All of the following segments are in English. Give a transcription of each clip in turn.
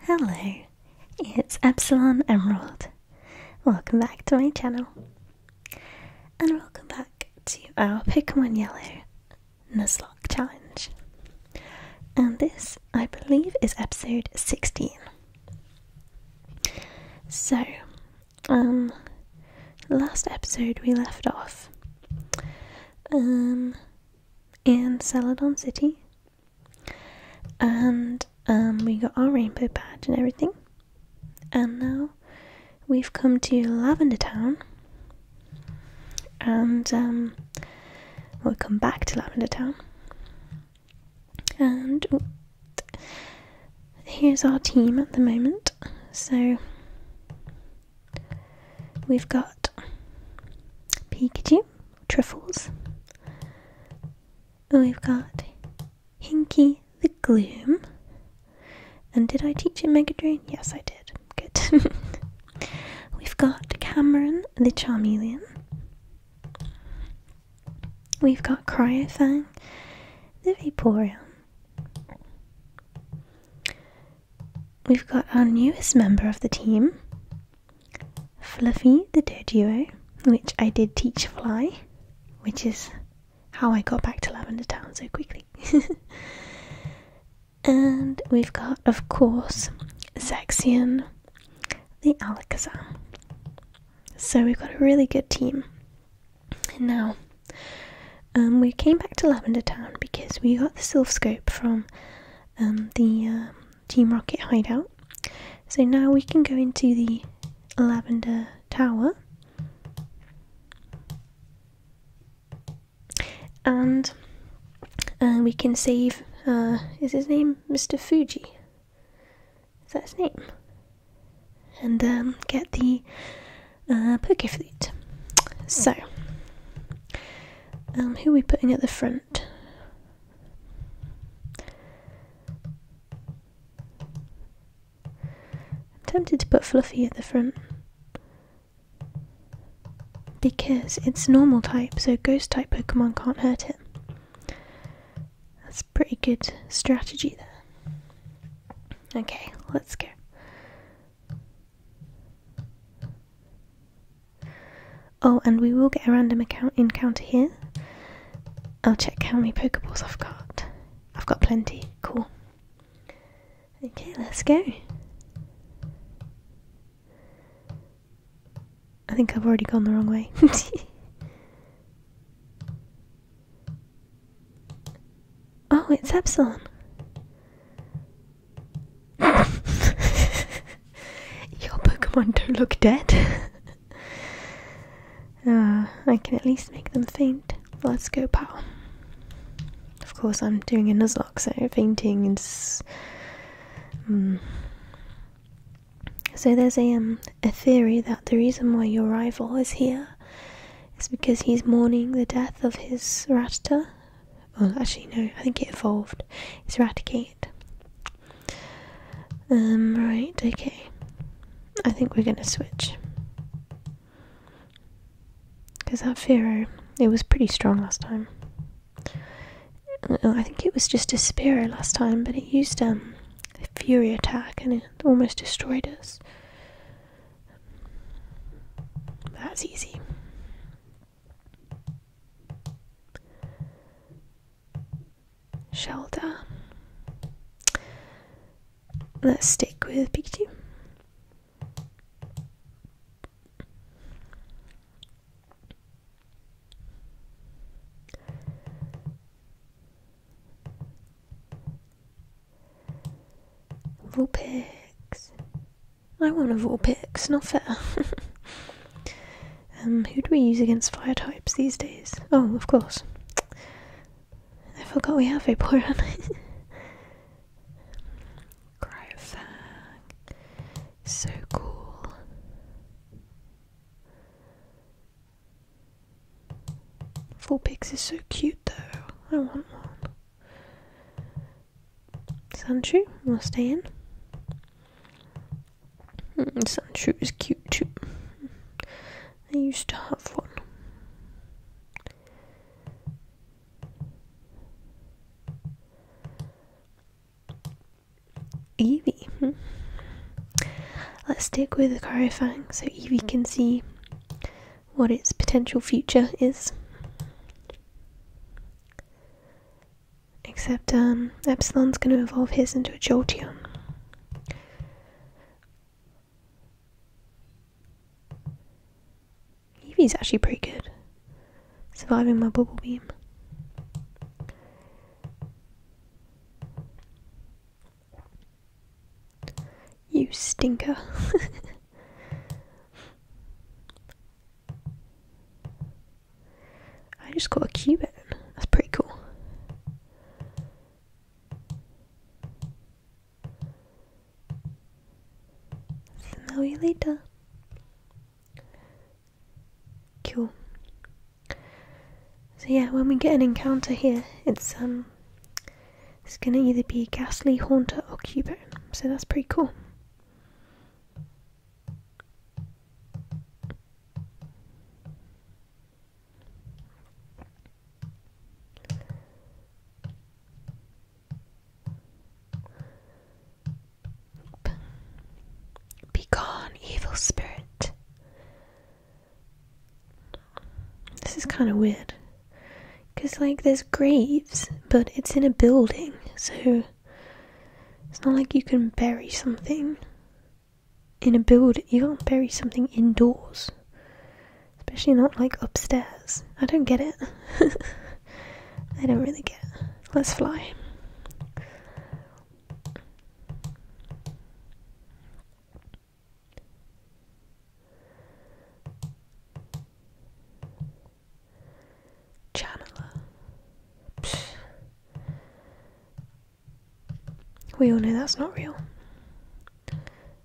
Hello, it's Epsilon Emerald. Welcome back to my channel. And welcome back to our Pokemon Yellow Nuzlocke Challenge. And this, I believe, is episode 16. So, um, last episode we left off. Um, in Celadon City. And um, we got our rainbow badge and everything. And now we've come to Lavender Town. And um, we'll come back to Lavender Town. And here's our team at the moment. So we've got Pikachu, truffles. We've got Hinky the Gloom. And did I teach him Megadrain? Yes, I did. Good. We've got Cameron the Charmeleon. We've got Cryofang the Vaporeon. We've got our newest member of the team, Fluffy the Doduo, which I did teach fly, which is how I got back to Lavender Town so quickly. and we've got, of course, Zaxian the Alakazam. So we've got a really good team. Now, um, we came back to Lavender Town because we got the Sylph Scope from um, the um, Team Rocket hideout. So now we can go into the Lavender Tower. And uh, we can save, uh, is his name Mr. Fuji? Is that his name? And um, get the uh, Poke Flute. So, um, who are we putting at the front? I'm tempted to put Fluffy at the front because it's normal type, so ghost type Pokemon can't hurt it. That's pretty good strategy there. Okay, let's go. Oh, and we will get a random account encounter here. I'll check how many Pokeballs I've got. I've got plenty. Cool. Okay, let's go. I think I've already gone the wrong way. oh, it's Epsilon. Your Pokemon do look dead. uh, I can at least make them faint. Let's go, pal. Of course, I'm doing a Nuzlocke, so fainting is. Um, so there's um, a theory that the reason why your rival is here is because he's mourning the death of his Rattata well, actually, no, I think it evolved. It's Eradicate. Um, right, okay. I think we're going to switch. Because that Pharaoh, it was pretty strong last time. I think it was just a Spiro last time, but it used um, a Fury attack and it almost destroyed us. That's easy. Shelter. Let's stick with Pikachu. Vulpix. I want a all picks, not fair. Um, who do we use against fire types these days? Oh, of course. I forgot we have Vaporeon. Cryofang. So cool. Four pigs is so cute though. I want one. Sandshrew will stay in. Hmm, Sun is cute too. I used to have one. Evie. Hmm. Let's stick with the Cryofang so Evie hmm. can see what its potential future is. Except um, Epsilon's going to evolve his into a Jolteon. Eevee's actually pretty good. Surviving my bubble beam. You stinker. I just got a Cuban. That's pretty cool. Smell you later. Cool. So yeah, when we get an encounter here, it's um it's gonna either be Ghastly, Haunter or Cuban. So that's pretty cool. Begone, evil spirit. This is kind of weird. Because, like, there's graves, but it's in a building, so it's not like you can bury something in a building. You can't bury something indoors. Especially not like upstairs. I don't get it. I don't really get it. Let's fly channeler. We all know that's not real.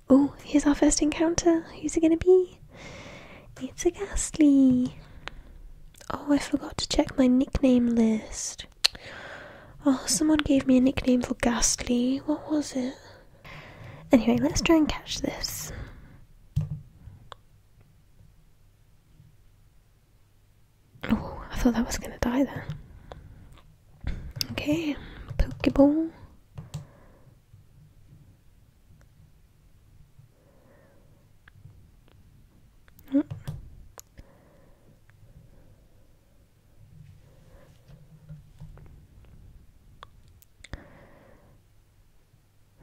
Oh, here's our first encounter. Who's it gonna be? It's a ghastly. Oh, I forgot to check my nickname list. Oh, someone gave me a nickname for ghastly. What was it? Anyway, let's try and catch this. Oh, I thought that was gonna die then. Okay, Pokeball. Hmm.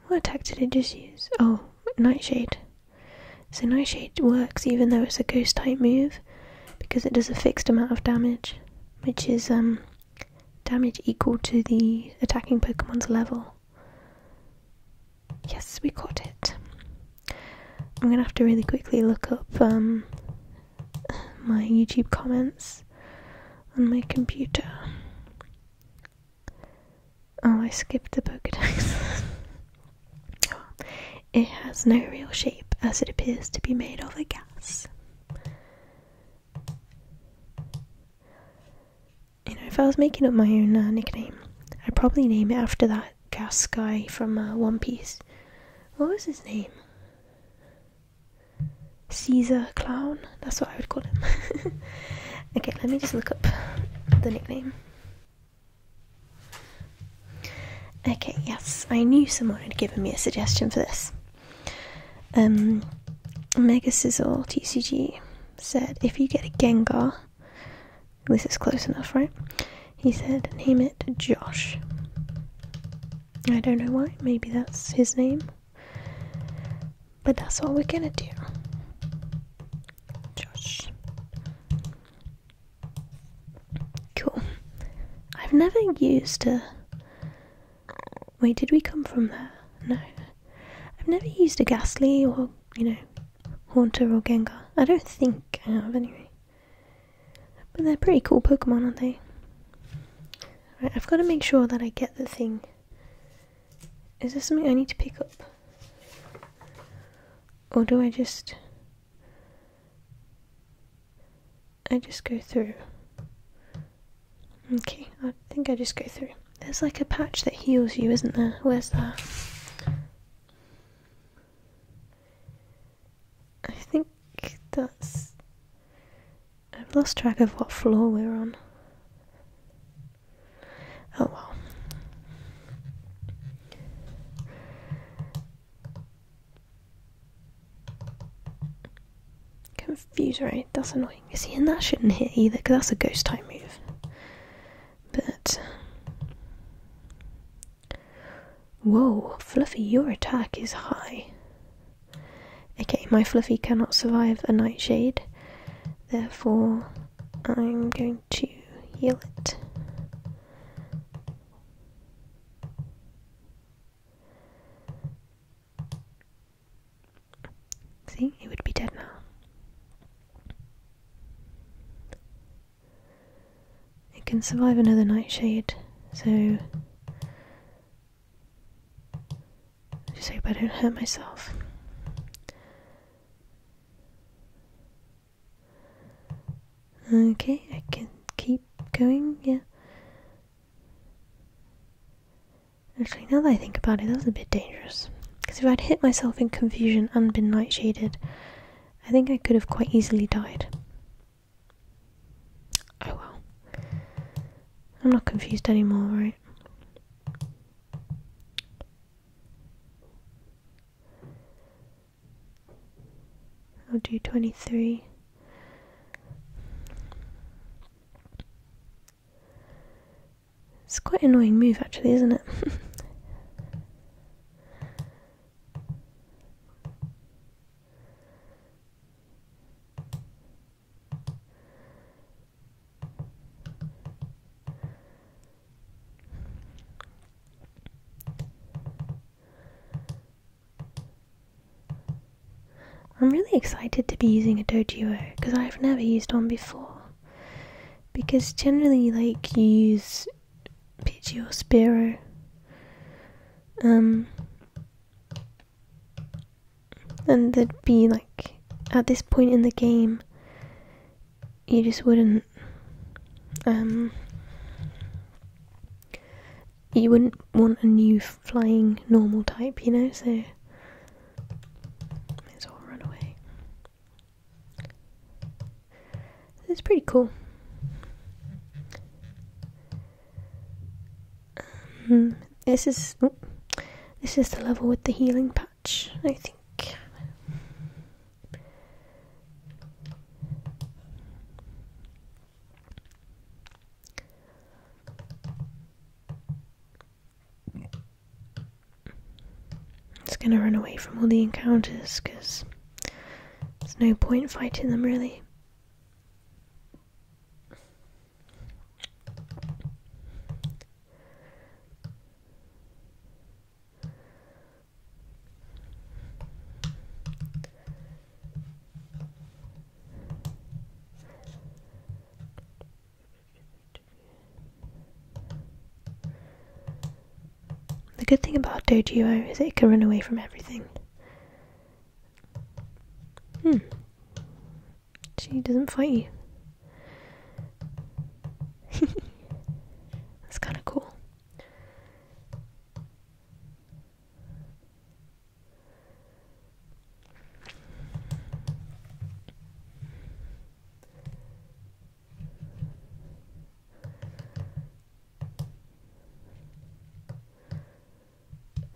What attack did I just use? Oh, Nightshade. So Night Shade works even though it's a ghost type move because it does a fixed amount of damage, which is um, damage equal to the attacking Pokemon's level. Yes, we caught it. I'm gonna have to really quickly look up um, my YouTube comments on my computer. Oh, I skipped the Pokedex. oh. It has no real shape as it appears to be made of a gas. You know, if I was making up my own uh, nickname, I'd probably name it after that gas guy from uh, One Piece. What was his name? Caesar Clown? That's what I would call him. okay, let me just look up the nickname. Okay, yes, I knew someone had given me a suggestion for this. Um, Mega Sizzle TCG said, if you get a Gengar, this is close enough, right? He said, name it Josh. I don't know why, maybe that's his name. But that's what we're gonna do. Josh. Cool. I've never used a. Wait, did we come from there? No. I've never used a Ghastly or, you know, Haunter or Gengar. I don't think I have, anyway. But they're pretty cool Pokemon, aren't they? Right, I've got to make sure that I get the thing. Is there something I need to pick up? Or do I just. I just go through. Okay, I think I just go through. There's like a patch that heals you, isn't there? Where's that? I think that's. I've lost track of what floor we're on. Oh well. Confuse right, that's annoying. See, and that shouldn't hit either, because that's a ghost type move. But. Whoa, Fluffy, your attack is high. Okay, my Fluffy cannot survive a Nightshade, therefore I'm going to heal it. See, it would be dead now. It can survive another nightshade, so just hope I don't hurt myself. Okay, I can keep going, yeah. Actually, now that I think about it, that was a bit dangerous. Because if I'd hit myself in confusion and been nightshaded, I think I could have quite easily died. Oh well. I'm not confused anymore, right? I'll do 23. It's quite annoying move, actually, isn't it? I'm really excited to be using a Doduo because I've never used one before. Because generally, like, you use Pidgey or Spiro. Um, and there'd be like, at this point in the game, you just wouldn't um, you wouldn't want a new flying normal type, you know, so it's all run away. It's pretty cool. Um, this is oh, this is the level with the healing patch, I think. It's gonna run away from all the encounters because there's no point fighting them really. The good thing about Dojiro is it can run away from everything. Hmm. She doesn't fight you. That's kind of cool.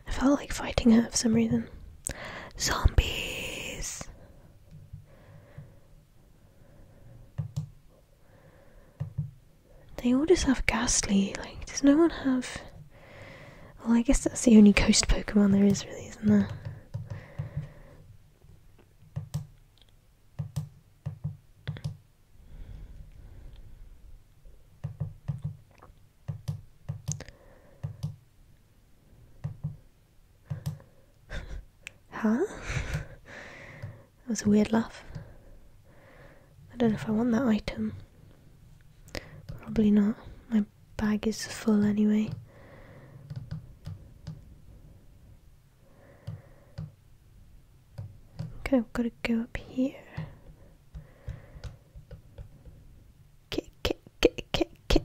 I felt like fighting her for some reason. Zombies! They all just have ghastly. Like, does no one have? Well, I guess that's the only ghost Pokemon there is, really, isn't there? huh? That was a weird laugh. I don't know if I want that item. Probably not. My bag is full anyway. Okay, I've got to go up here. Kit, kit, kit, kit, kit.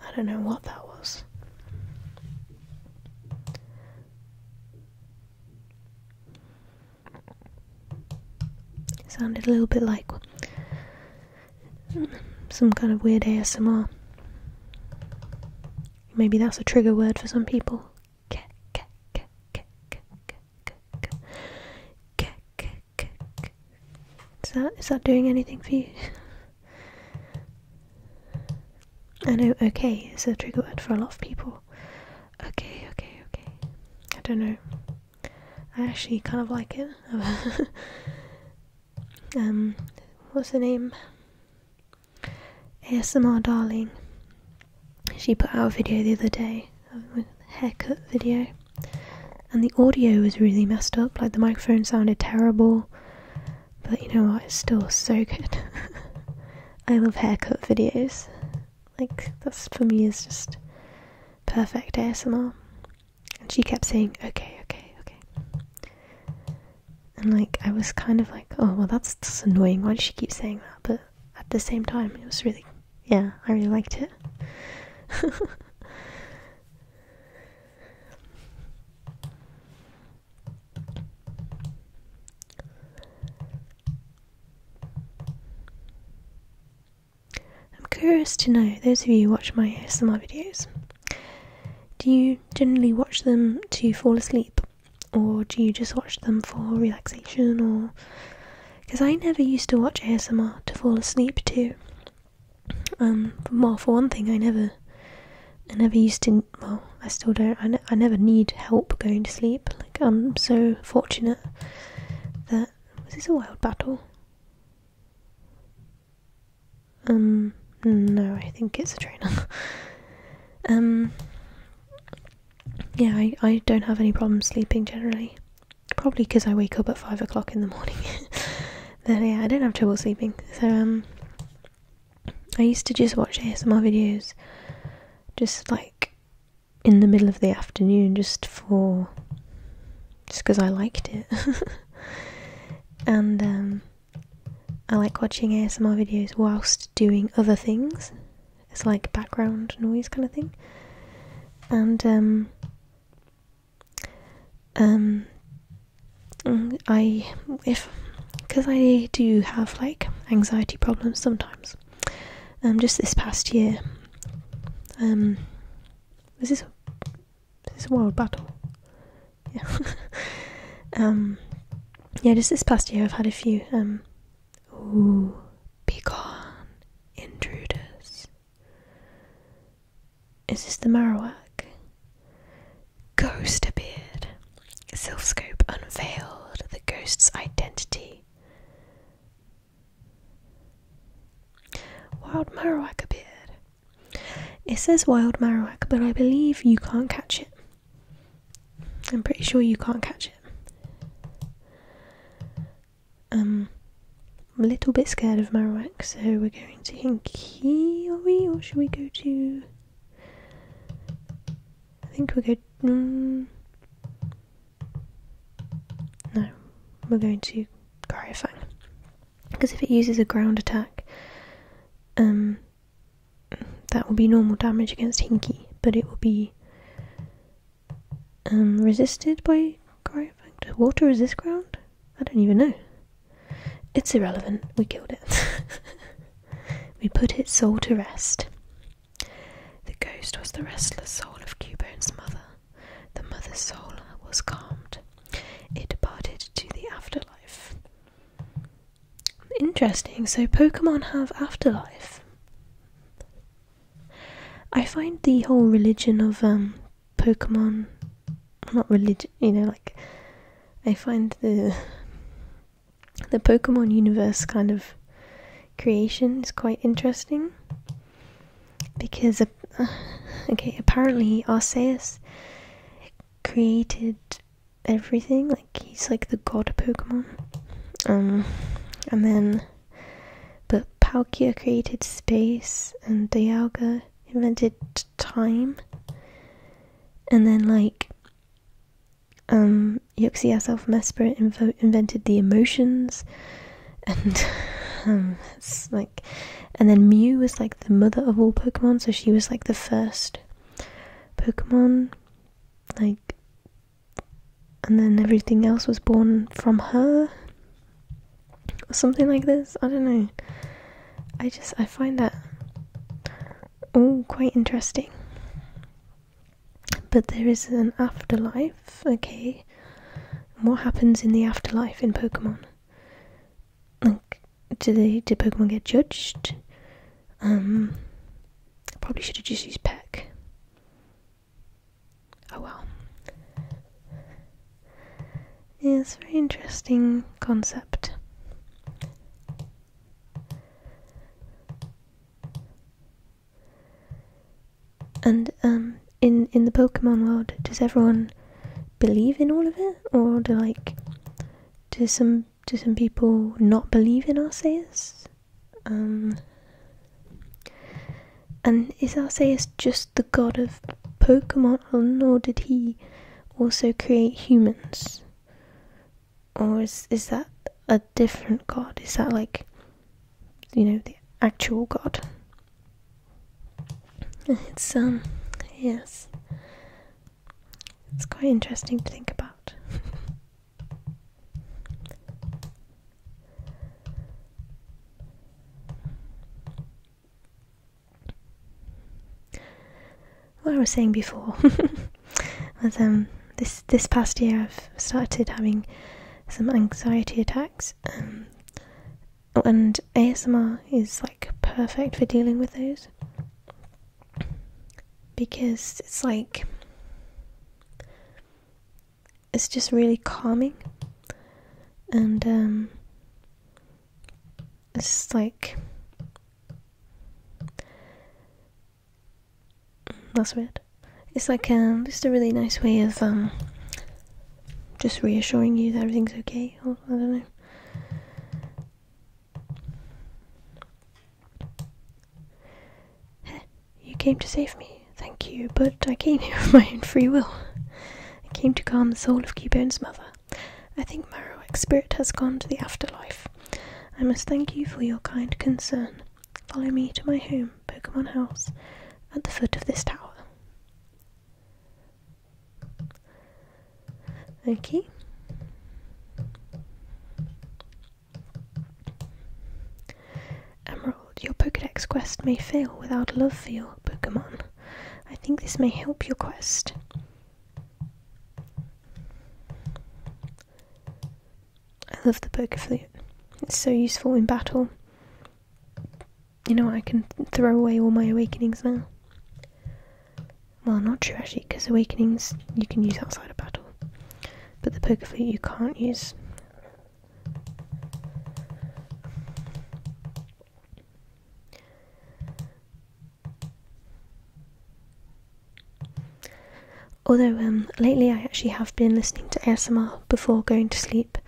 I don't know what that was. sounded a little bit like some kind of weird ASMR. Maybe that's a trigger word for some people. Is that is that doing anything for you? I know okay is a trigger word for a lot of people. Okay, okay, okay. I don't know. I actually kind of like it. um, what's her name? ASMR Darling. She put out a video the other day, a haircut video, and the audio was really messed up. Like the microphone sounded terrible. But you know what? It's still so good. I love haircut videos. Like, that's for me is just perfect ASMR. And she kept saying, okay, okay, okay. And like, I was kind of like, oh, well, that's just annoying. Why does she keep saying that? But at the same time, it was really, yeah, I really liked it. I'm curious to know, those of you who watch my ASMR videos, do you generally watch them to fall asleep? Or do you just watch them for relaxation or because I never used to watch ASMR to fall asleep too. Um well for one thing I never I never used to well, I still don't, I, I never need help going to sleep. Like, I'm so fortunate that. this is a wild battle? Um, no, I think it's a trainer. um, yeah, I, I don't have any problems sleeping generally. Probably because I wake up at 5 o'clock in the morning. then, yeah, I don't have trouble sleeping. So, um, I used to just watch ASMR videos just like in the middle of the afternoon just for just because I liked it. and um, I like watching ASMR videos whilst doing other things. It's like background noise kind of thing. And um, um, Mm, I if because I do have like anxiety problems sometimes. Um, just this past year, um, this is this a wild battle? Yeah. um, yeah. Just this past year, I've had a few. Um, ooh, be gone, intruders. Is this the Marowak? Ghost appeared. Sylphscope unveiled the ghost's identity. Wild Marowak appeared. It says Wild Marowak, but I believe you can't catch it. I'm pretty sure you can't catch it. Um, I'm a little bit scared of Marowak, so we're going to Hinkiori, or should we go to I think we're good. Mm. no, we're going to Cryofang. Because if it uses a ground attack, um, that will be normal damage against Hinky, but it will be um, resisted by Cryofang. water resist ground? I don't even know. It's irrelevant. We killed it. We put its soul to rest. The ghost was the restless soul of Cubone's mother. The mother's soul was calmed. It departed to the afterlife. Interesting, so Pokemon have afterlife. I find the whole religion of um, Pokemon, not religion, you know, like, I find the the Pokemon universe kind of creation is quite interesting because uh, okay apparently Arceus created everything like he's like the god Pokemon um, and then but Palkia created space and Dialga invented time and then like um, Euxias of Mespera invented the emotions, and um, like, and then Mew was like the mother of all Pokemon, so she was like the first Pokemon, like, and then everything else was born from her, or something like this. I don't know. I just I find that Oh, quite interesting. But there is an afterlife, okay? What happens in the afterlife in Pokemon? Like, do they do Pokemon get judged? Um, probably should just use Peck. Oh well. Yeah, it's a very interesting concept. And um, in in the Pokemon world, does everyone believe in all of it, or do like do some do some people not believe in Arceus? Um, and is Arceus just the god of Pokemon, or did he also create humans? or is is that a different god? Is that like, you know, the actual god? It's um, yes, it's quite interesting to think about what I was saying before was um this this past year I've started having some anxiety attacks um, and ASMR is like perfect for dealing with those because it's like it's just really calming and um, it's like that's weird. It's like um, just a really nice way of um, just reassuring you that everything's okay. I don't know. You came to save me, thank you, but I came here of my own free will. I came to calm the soul of Cubon's mother. I think Marowak's spirit has gone to the afterlife. I must thank you for your kind concern. Follow me to my home, Pokemon House, at the foot of this tower. Okay. Emerald, your Pokedex quest may fail without love for your Pokemon. I think this may help your quest. I love the poker flute. It's so useful in battle. You know, I can throw away all my awakenings now. Well, not true actually, because awakenings you can use outside of battle, but the poker flute you can't use. Although um, lately I actually have been listening to ASMR before going to sleep.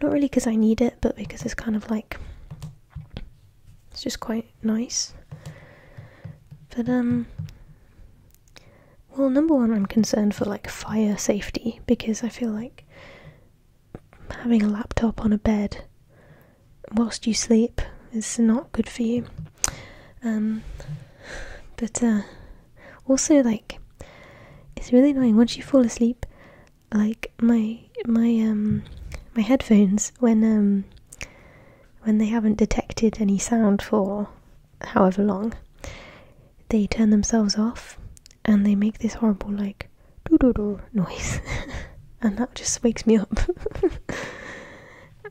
Not really because I need it, but because it's kind of like it's just quite nice. But um well number one I'm concerned for like fire safety because I feel like having a laptop on a bed whilst you sleep is not good for you. Um but uh, also like it's really annoying once you fall asleep. Like my my um, my headphones when um, when they haven't detected any sound for however long, they turn themselves off and they make this horrible like doo doo doo noise, and that just wakes me up.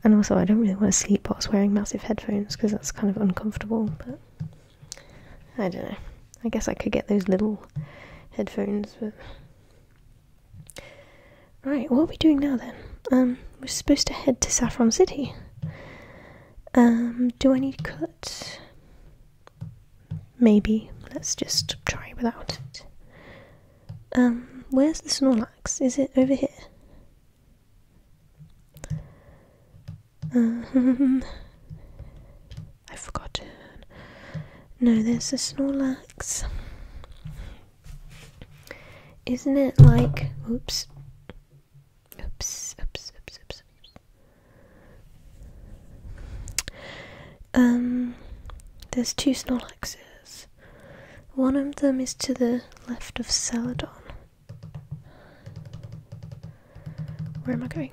And also, I don't really want to sleep i whilst wearing massive headphones because that's kind of uncomfortable, but I don't know. I guess I could get those little headphones, but. Right, what are we doing now then? Um, we're supposed to head to Saffron City. Um, do I need cut? Maybe. Let's just try without it. Um, where's the Snorlax? Is it over here? Um, I've forgotten. No, there's a Snorlax. Isn't it like. Oops. Oops, oops, oops, oops, oops. Um, there's two Snorlaxes. One of them is to the left of Celadon. Where am I going?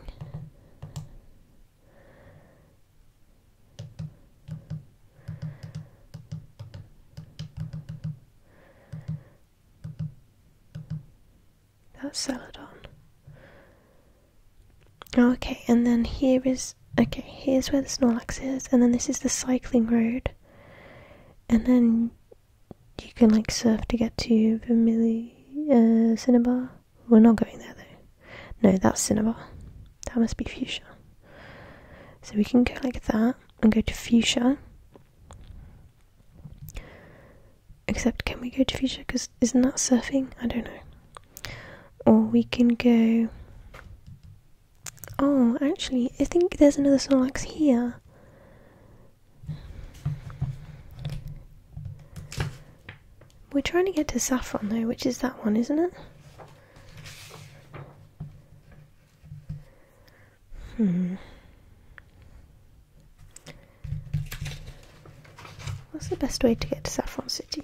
That's Celadon. Okay, and then here is okay, here's where the Snorlax is, and then this is the cycling road and then you can like surf to get to Vermilly uh, Cinnabar. We're not going there though. No, that's Cinnabar. That must be Fuchsia. So we can go like that and go to Fuchsia. Except, can we go to Fuchsia? Because isn't that surfing? I don't know. Or we can go. Oh, actually, I think there's another Snorlax here. We're trying to get to Saffron though, which is that one, isn't it? Hmm. What's the best way to get to Saffron City?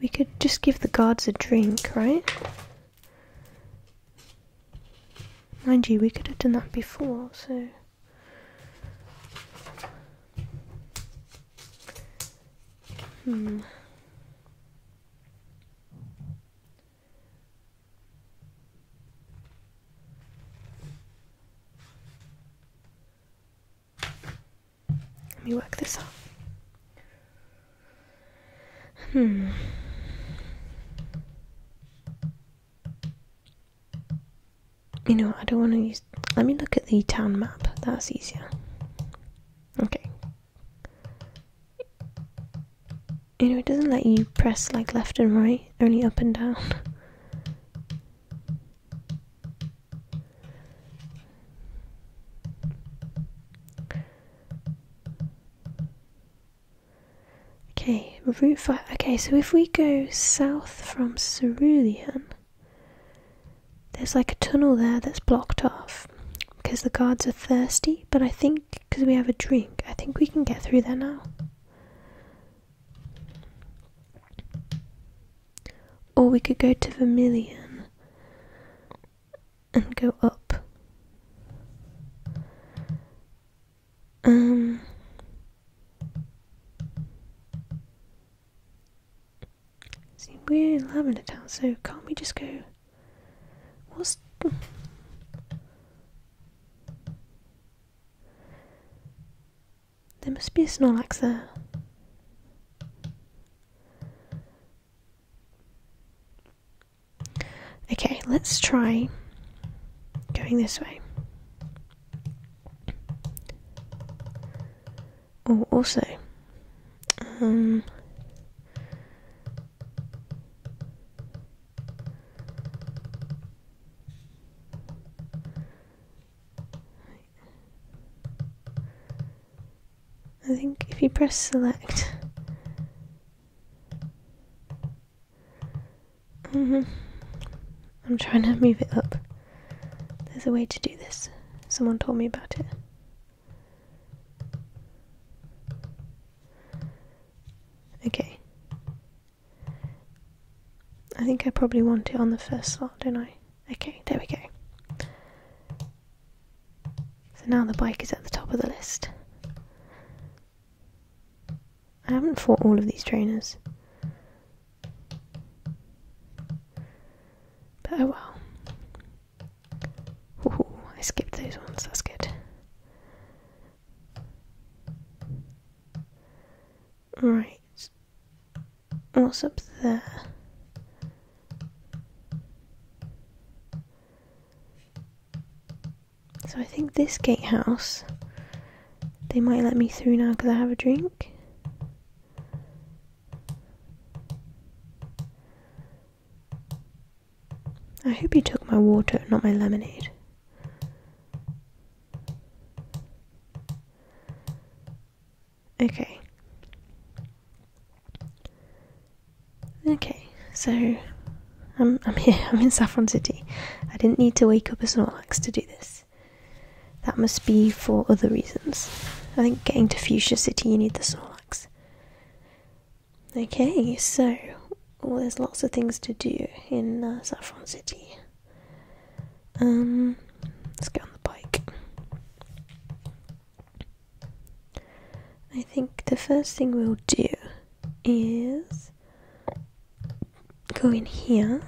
We could just give the guards a drink, right? Mind you, we could have done that before, so. Hmm. Let me work this out. Hmm. You know, I don't want to use. Let me look at the town map. That's easier. Okay. You know, it doesn't let you press like left and right, only up and down. Okay, Route 5. Okay, so if we go south from Cerulean, there's like a tunnel there that's blocked off because the guards are thirsty, but I think because we have a drink, I think we can get through there now. Or we could go to Vermilion and go up. Um, see, we're in Lavender Town, so can't we just go? What's there must be a Snorlax there. Okay, let's try going this way. Oh, also, um, I think if you press select. Mm-hmm. I'm trying to move it up. There's a way to do this. Someone told me about it. Okay. I think I probably want it on the first slot, don't I? Okay, there we go. So now the bike is at the top of the list. I haven't fought all of these trainers. But oh well. I skipped those ones, that's good. Right. What's up there? So I think this gatehouse, they might let me through now because I have a drink. I hope you took my water, not my lemonade. Okay. Okay, so I'm I'm here. I'm in Saffron City. I didn't need to wake up a Snorlax to do this. That must be for other reasons. I think getting to Fuchsia City, you need the Snorlax. Okay, so there's lots of things to do in uh, Saffron City. Um, let's get on the bike. I think the first thing we'll do is go in here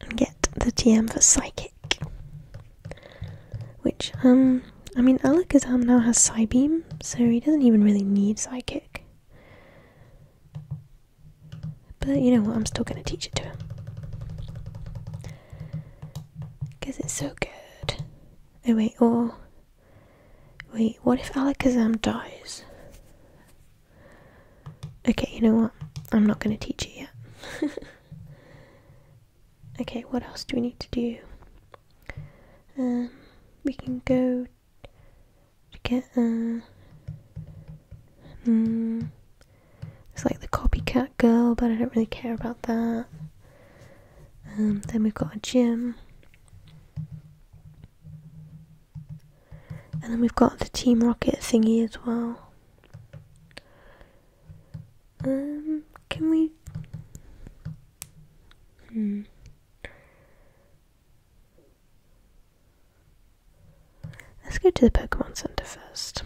and get the TM for Psychic. Which, um, I mean, Alakazam now has Psybeam, so he doesn't even really need Psychic. But you know what, I'm still gonna teach it to him. Because it's so good. Oh wait, or... Oh. Wait, what if Alakazam dies? Okay, you know what? I'm not going to teach it yet. okay, what else do we need to do? Um, we can go to get, uh... Um, it's like the copycat girl, but I don't really care about that. Um, then we've got a gym. And then we've got the Team Rocket thingy as well. Um, can we... Hmm. Let's go to the Pokemon Center first.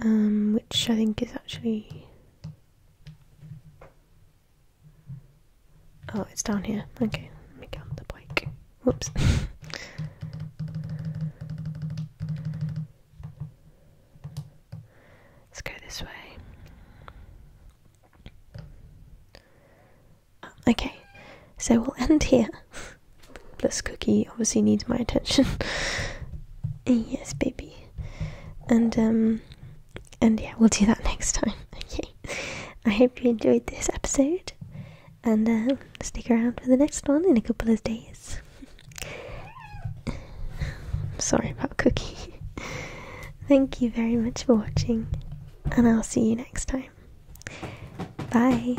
Um, which I think is actually. Oh, it's down here. Okay, let me get the bike. Whoops. Let's go this way. Ah, okay, so we'll end here. Plus, Cookie obviously needs my attention. yes, baby. And um, and yeah, we'll do that next time. Okay. I hope you enjoyed this episode, and um, stick around for the next one in a couple of days. Sorry about Cookie. Thank you very much for watching, and I'll see you next time. Bye.